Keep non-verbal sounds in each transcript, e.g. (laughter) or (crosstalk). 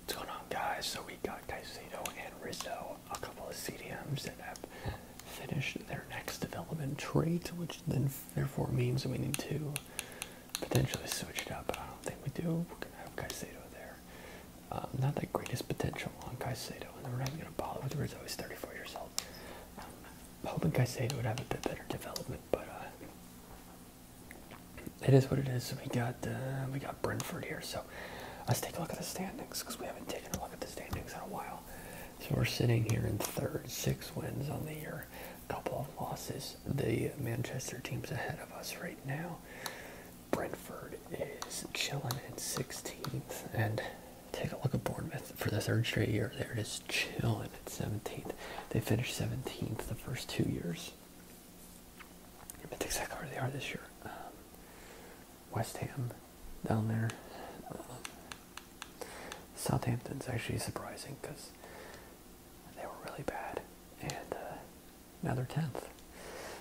What's going on guys? So we got Caicedo and Rizzo, a couple of CDMs that have finished their next development trait, which then therefore means that we need to potentially switch it up, but I don't think we do. We're gonna have Caicedo there. Um, not the greatest potential on Caicedo, and then we're not gonna bother with Rizzo, he's 34 years old. Um, hoping Caicedo would have a bit better development, but uh, it is what it is. we got uh, we got Brentford here. So let's take a look at the standings because we haven't taken a look at the standings in a while. So we're sitting here in third, six wins on the year, a couple of losses. The Manchester team's ahead of us right now. Brentford is chilling in 16th, and take a look at Bournemouth for the third straight year. They're just chilling at 17th. They finished 17th the first two years. That's exactly where they are this year. Um, West Ham down there. Um, Southampton's actually surprising because they were really bad. And uh, now they're 10th.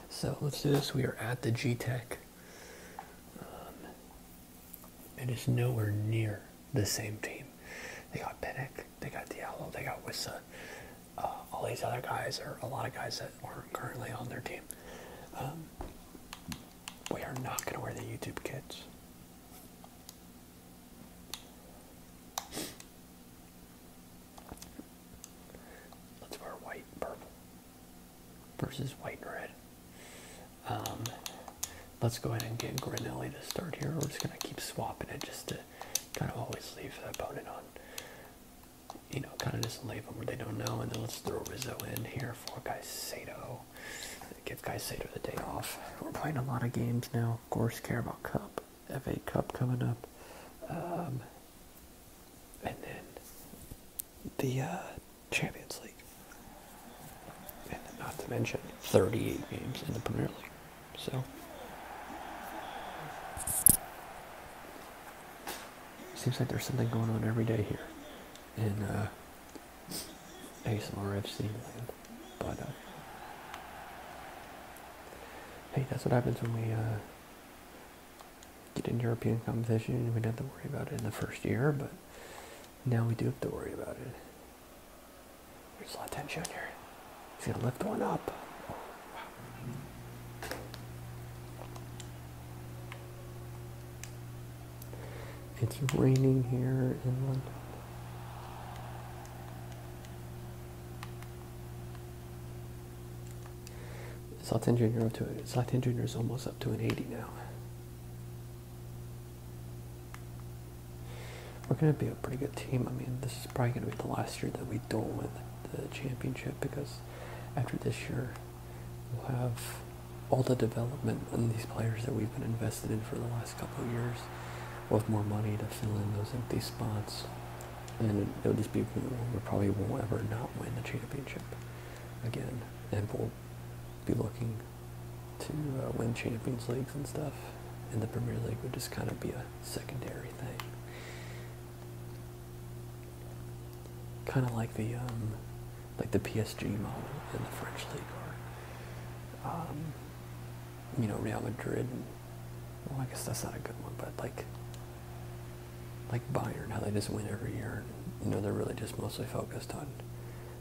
So let's do this. We are at the G-Tech. Um, it is nowhere near the same team. They got Pinnock. They got Diallo. They got Wissa. Uh, all these other guys, or a lot of guys that aren't currently on their team. Um, we are not going to wear the YouTube kids. Let's wear white and purple versus white and red. Um, let's go ahead and get Granelli to start here. We're just going to keep swapping it just to kind of always leave the opponent on you know, kind of just leave them where they don't know. And then let's throw Rizzo in here for Sato. Give Sato the day off. We're playing a lot of games now. Of course, care about Cup, FA Cup coming up. Um, and then the uh, Champions League. And not to mention 38 games in the Premier League. So. Seems like there's something going on every day here in uh, ASMRFC land. But, uh, hey, that's what happens when we uh, get in European competition. We do not have to worry about it in the first year, but now we do have to worry about it. There's a lot of tension here. She lift one up. It's raining here in London. Slot up to it. Slot is almost up to an 80 now. What can it be pretty good team. I mean, this is probably going to be the last year that we don't win the championship because after this year, we'll have all the development and these players that we've been invested in for the last couple of years. with more money to fill in those empty spots, and it'll just be we probably won't ever not win the championship again, and we'll be looking to uh, win Champions Leagues and stuff. And the Premier League would just kind of be a secondary thing. Kind of like the um, like the PSG moment in the French league, or um, you know Real Madrid. well, I guess that's not a good one, but like like Bayern, how they just win every year. you know they're really just mostly focused on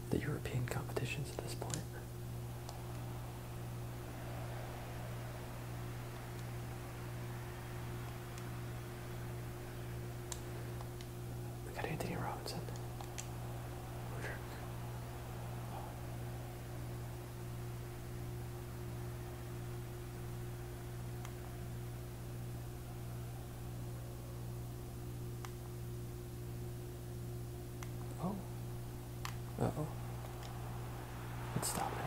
the European competitions at this point. We got Anthony Robinson. Roderick. Oh, oh. Let's stop in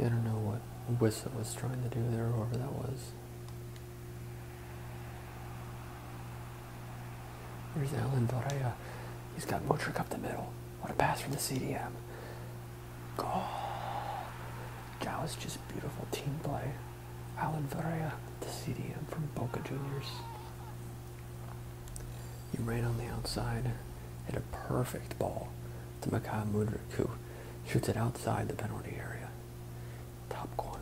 I don't know what Wissa was trying to do there, or whatever that was. Where's Alan Dorea. He's got Motrick up the middle. Want a pass from the CDM. Oh, that was just beautiful team play. Alan Varela the CDM from Boca Juniors. He ran on the outside, hit a perfect ball to Mikhail Mudrik, who shoots it outside the penalty area. Top corner.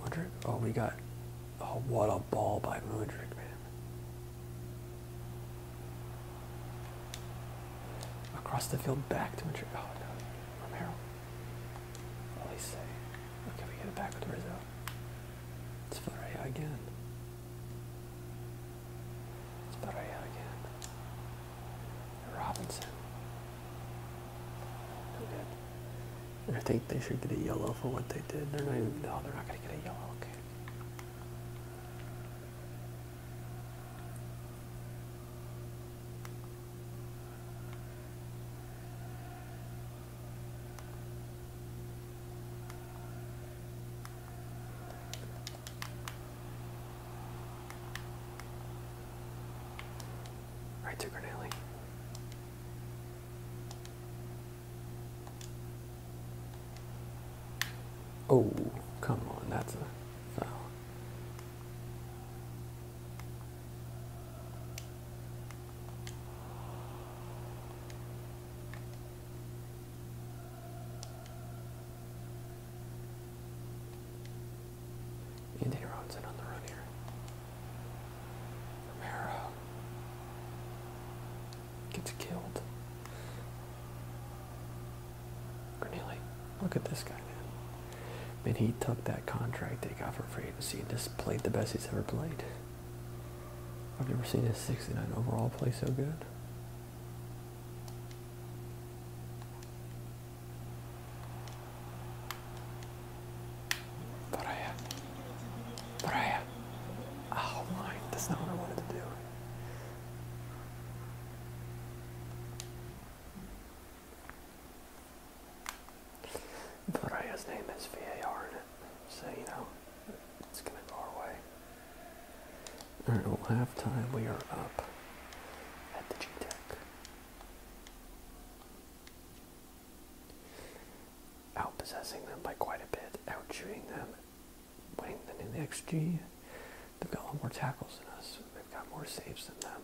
Mudrick, oh, we got, oh, what a ball by Mudrick, man. Across the field, back to Madrid. Oh, no. Romero. What do they say? Okay, we get it back with Rizzo. It's Varela again. It's Varela again. Robinson. No good. I think they should get a yellow for what they did. They're not no, they're not going to get a yellow, okay. Right to Granelli. Oh, come on, that's a foul. Anthony Robinson on the run here. Romero gets killed. Really? Look at this guy, man. Man, he took that contract they got for free agency and just played the best he's ever played. I've never seen a 69 overall play so good. But I, oh my, that's not what I wanted to do. Pereira's name has VAR so you know, it's going to go our way. Alright, well, halftime we are up at the G Tech. out possessing them by quite a bit, out shooting them, winning them in the XG. They've got a lot more tackles than us. They've got more saves than them.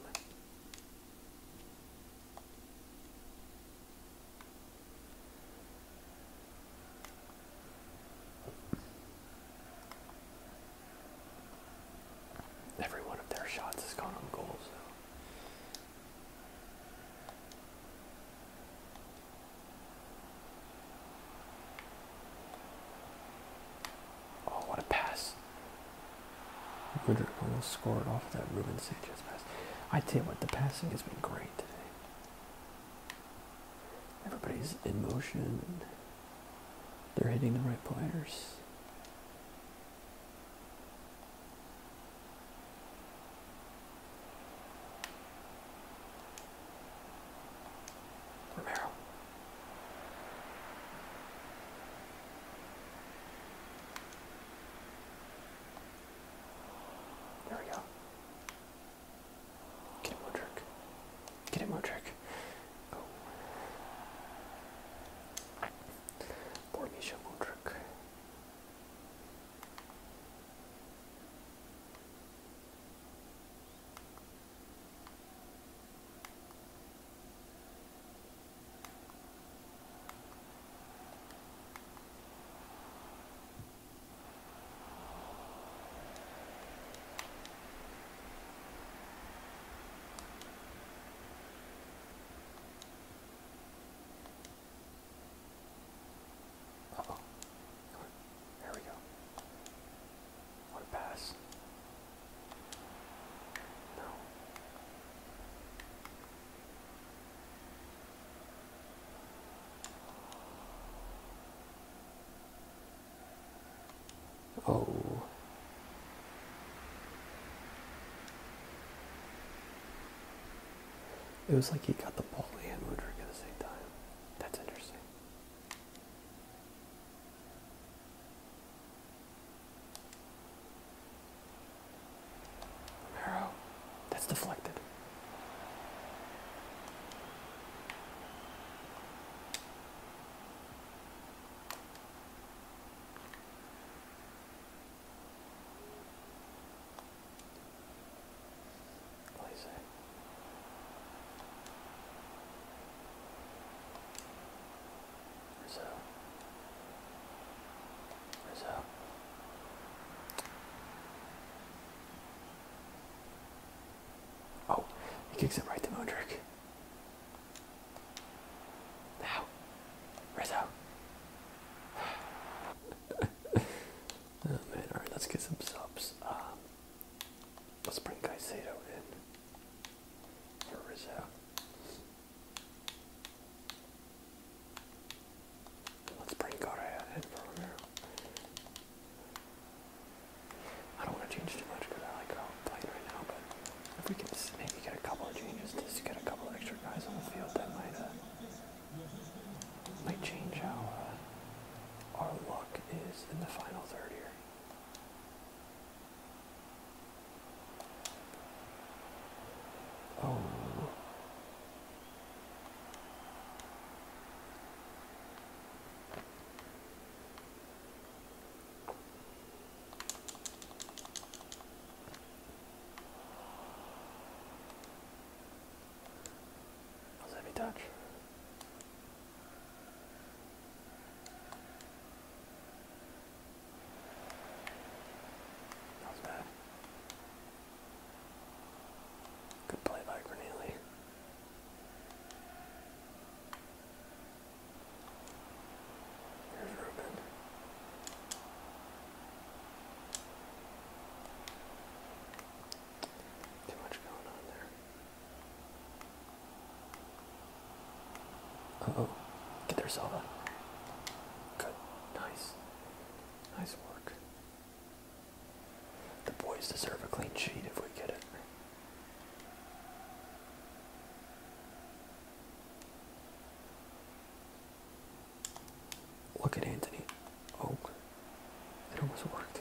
Every one of their shots has gone on goals. Oh, what a pass! Ritter almost scored off that Ruben Sanchez pass. I tell you what, the passing has been great today. Everybody's in motion. They're hitting the right players. Romero. There we go. Get it, Modric. Get it, Modric. Poor Misha Modric. Uh oh. There we go. What a pass. No. Oh. It was like he got the ball and Woodrick at the same time. That's interesting. Arrow. That's deflected. What do you say? Where's that? Oh, he kicks it right to Moondrick. Now, Rizzo. (sighs) oh man, alright, let's get some subs. Um, let's bring Kaisado in or Let's bring Correa in for Romero. I don't want to change too much because I like how i right now, but if we can maybe get a couple of changes, just get a couple extra guys on the field, that might, uh, might change how uh, our luck is in the final third here. Oh. Let me touch. Not bad. Good play by Granelli. Too much going on there oh, get their Zelda. Good, nice, nice work. The boys deserve a clean sheet if we get it. Look at Anthony. Oh, it almost worked.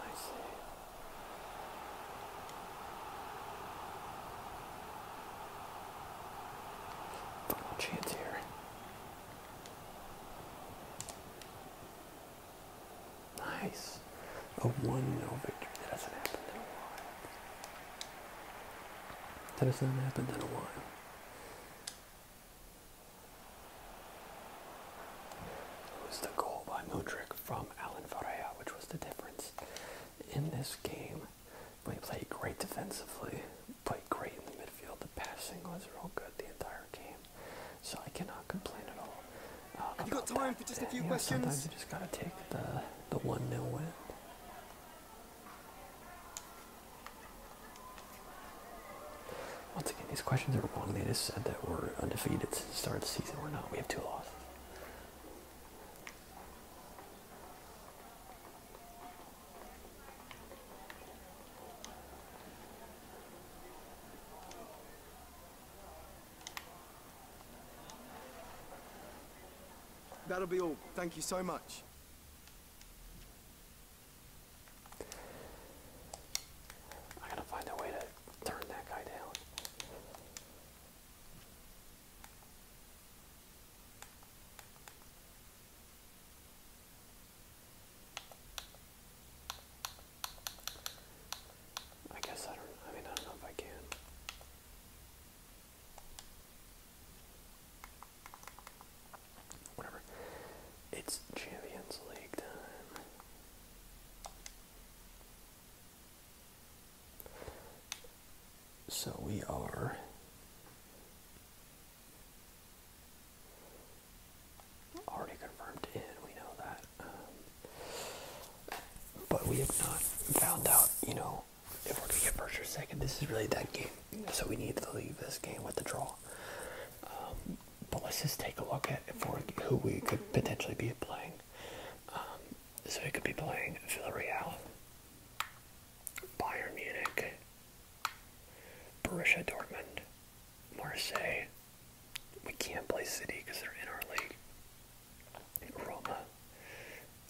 Nice chance here. Nice. A 1 0 victory. That hasn't happened in a while. That hasn't happened in a while. It was the goal by Mudrick from Alan Faria, which was the difference in this game. We played great defensively, played great in the midfield. The passing was real good the entire game, so I cannot complain at all. Uh, Have you got time for just a few questions? Sometimes you just gotta take the the one 0 win. Once again, these questions are wrong. They just said that we're undefeated since the start of the season. We're not. We have two losses. That'll be all. Thank you so much. I gotta find a way to Turn that guy down. I guess I don't, I mean, I don't know if I can. Whatever. It's Champions League time. So we are already confirmed in, we know that. Um, but we have not found out, you know, if we're going to get first or second. This is really that game. So we need to leave this game with the draw. Um, but let's just take a look at for who we could potentially be playing. Um, so we could be playing Villarreal, Bayern Munich, Borussia Dortmund, Marseille. We can't play City because they're in our league. Roma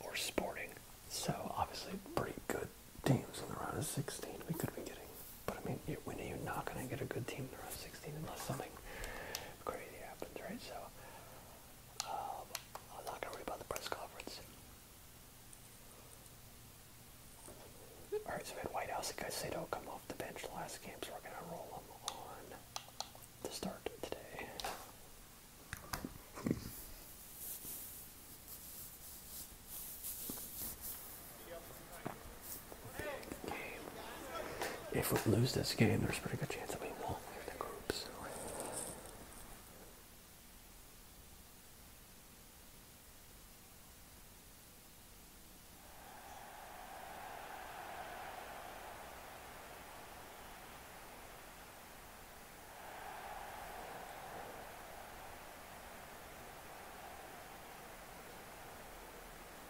or Sporting. So obviously, pretty good teams in the round of 16. We could be getting, but I mean, when are you not going to get a good team in the round of 16 unless something nothing crazy happens, right? So um, I'm not gonna worry about the press conference. All right, so we had White House and Caicedo come off the bench last game, so we're gonna roll them on to start today. If we lose this game, there's a pretty good chance that we won't the group.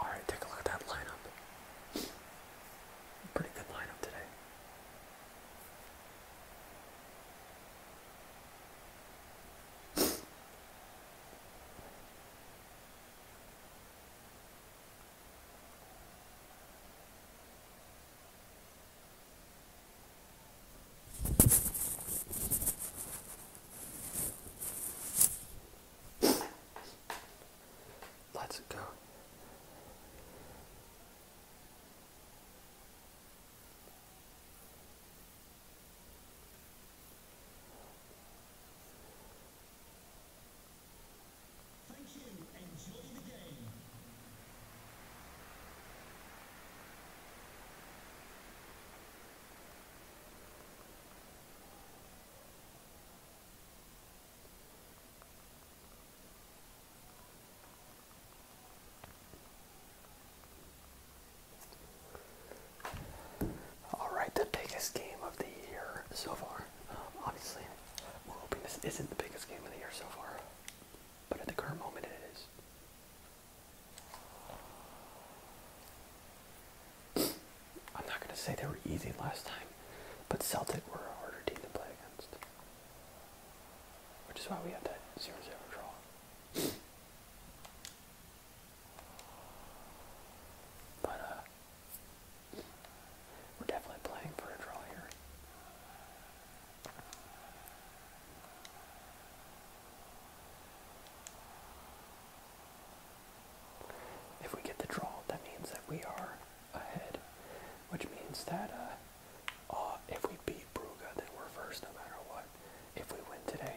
Alright, take a look at that lineup. Pretty good lineup today. Let's go. Thank you. Enjoy the game. Alright, the biggest game of the year so far. Um, obviously, we're hoping this isn't the biggest game of the year so far but at the current moment it is. (clears throat) I'm not going to say they were easy last time, but Celtic were a harder team to play against. Which is why we had that 0-0 draw. (clears throat) But, uh, we're definitely playing for a draw here. If we get the draw, that means that we are ahead, which means that uh, uh, if we beat Brugge, then we're first no matter what. If we win today,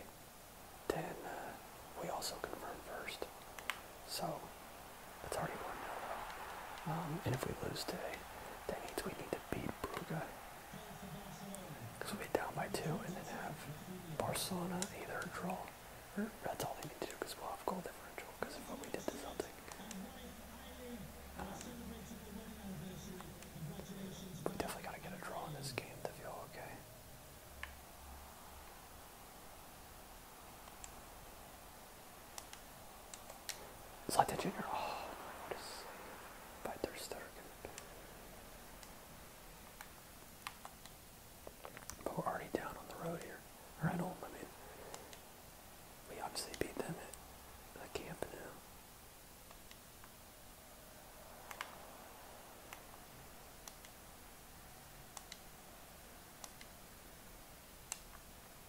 then uh, we also confirm first. So that's already 1 0. Um, and if we lose today, that means we need to beat because we'll be down by two and then have Barcelona either draw or that's all they need to do because we'll have goal differential because of what we did to Celtic. we definitely got to get a draw in this game to feel okay. Zlatan Jr. Oh, a save by Ter Stegen. But we're already down on the road here. Or at I mean. We obviously beat them at the camp now.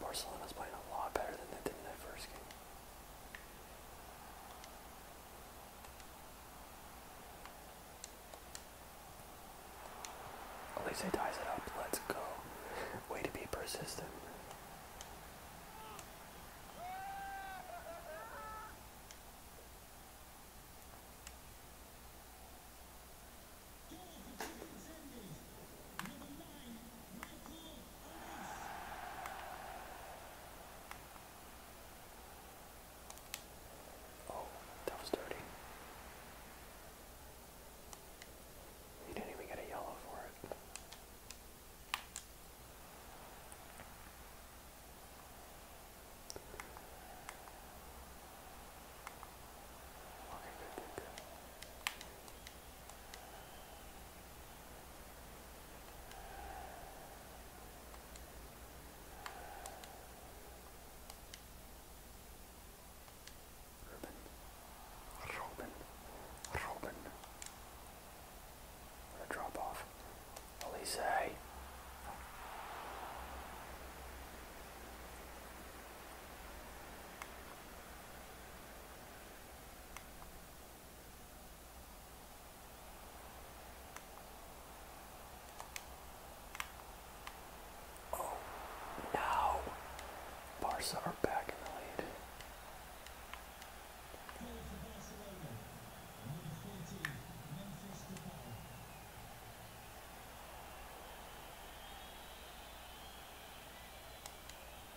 Barcelona's playing a lot better than they did in that first game. At least Elise ties it up. Let's go. Way to be persistent. Oh, that dirty. He didn't even get a yellow for it. Okay, good, good, good. Robin, Robin, Robin. a drop off. Elise. Oh, now Bars are back in the lead.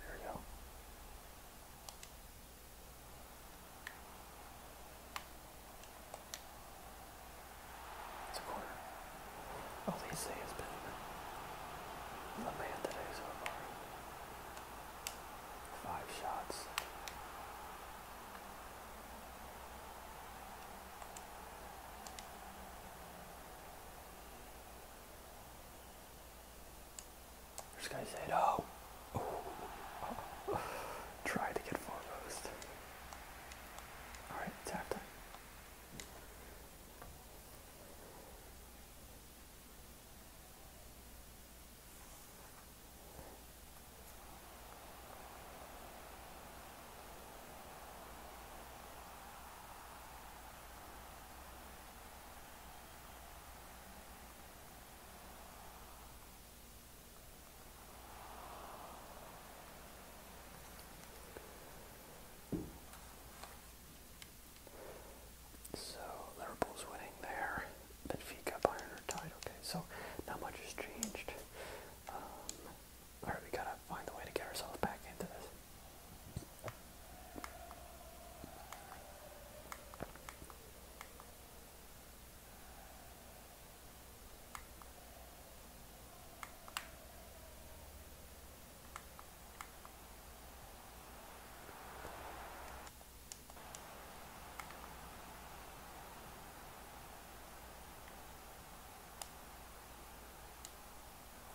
There we go. It's a quarter. All oh, these say been the man today so far. Five shots. This guy said, oh. oh. oh. Try to get foremost. Alright, tap time. So Liverpool's winning there. Benfica, Bayern tied. Okay, so not much has changed. Um, Alright, we gotta find a way to get ourselves back into this.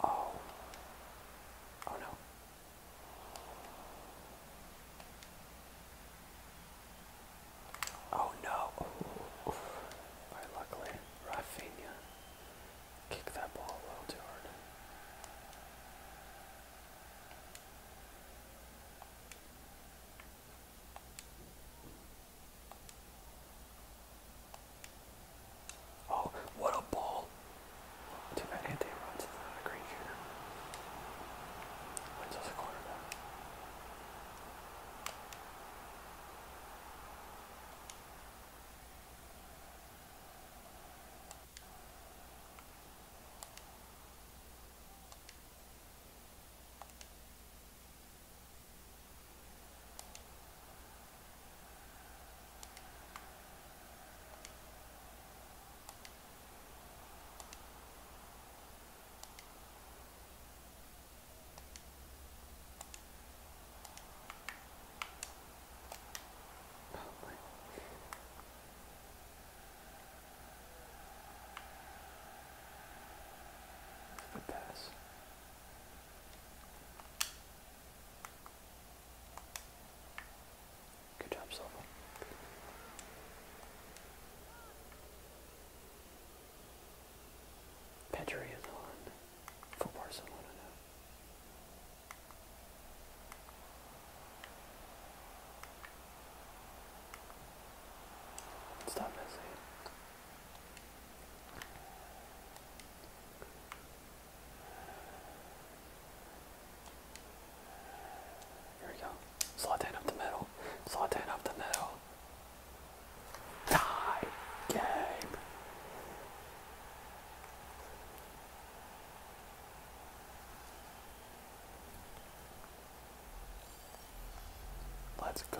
Oh. Oh no. Oh no! Ooh. luckily, Rafinha kicked that ball a little too hard. Oh, what a ball! Too bad Anthony Robinson's not a great shooter. Windsor's a quarterback. Pass. Good job, Silva. Pedri is on for Barcelona now. Stop missing. Here we go. Slot up the middle. Slot up the middle. Die! Game! Let's go.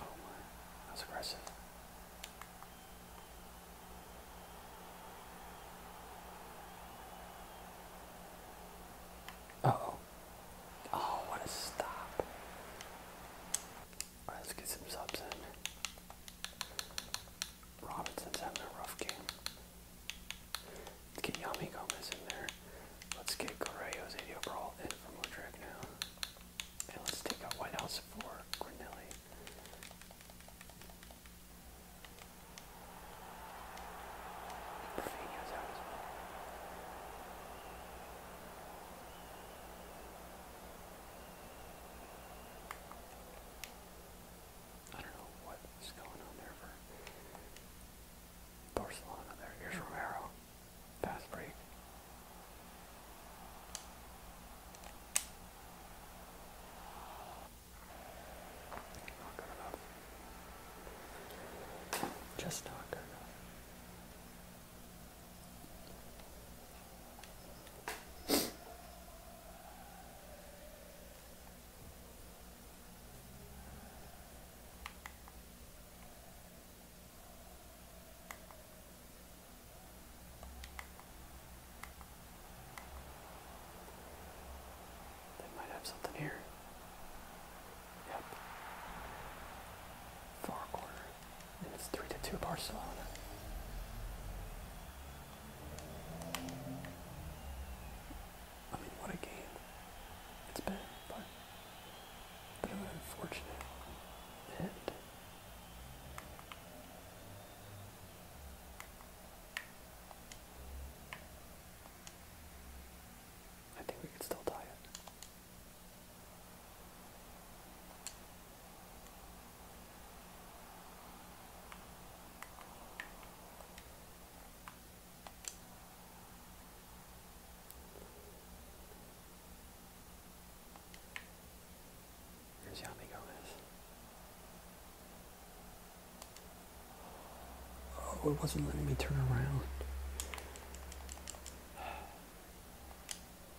Oh my, that's aggressive. oh. Oh, what a stop let's get some subs in. Robinson's having a rough game. Let's get Yami in there. Let's get Correo's 80 overall in for Modric now. And let's take out White for Cornelli. Perfino's out I don't know what's going on there for Barcelona there. Romero. Fast break. Not good Just not they might have something here. Yep. Far corner. And it's 3 to 2 Barcelona. I mean, what a game it's been, but bit of an unfortunate end. I think we could still tie it. Here's Yamigo is. Oh, it wasn't letting me turn around.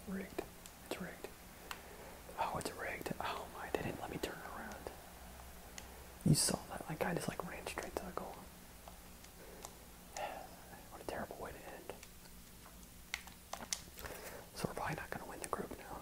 Rigged. It's rigged. Oh, it's rigged. Oh my, they didn't let me turn around. You saw that. My guy just like ran straight to the goal. (sighs) What a terrible way to end. So we're probably not going to win the group now.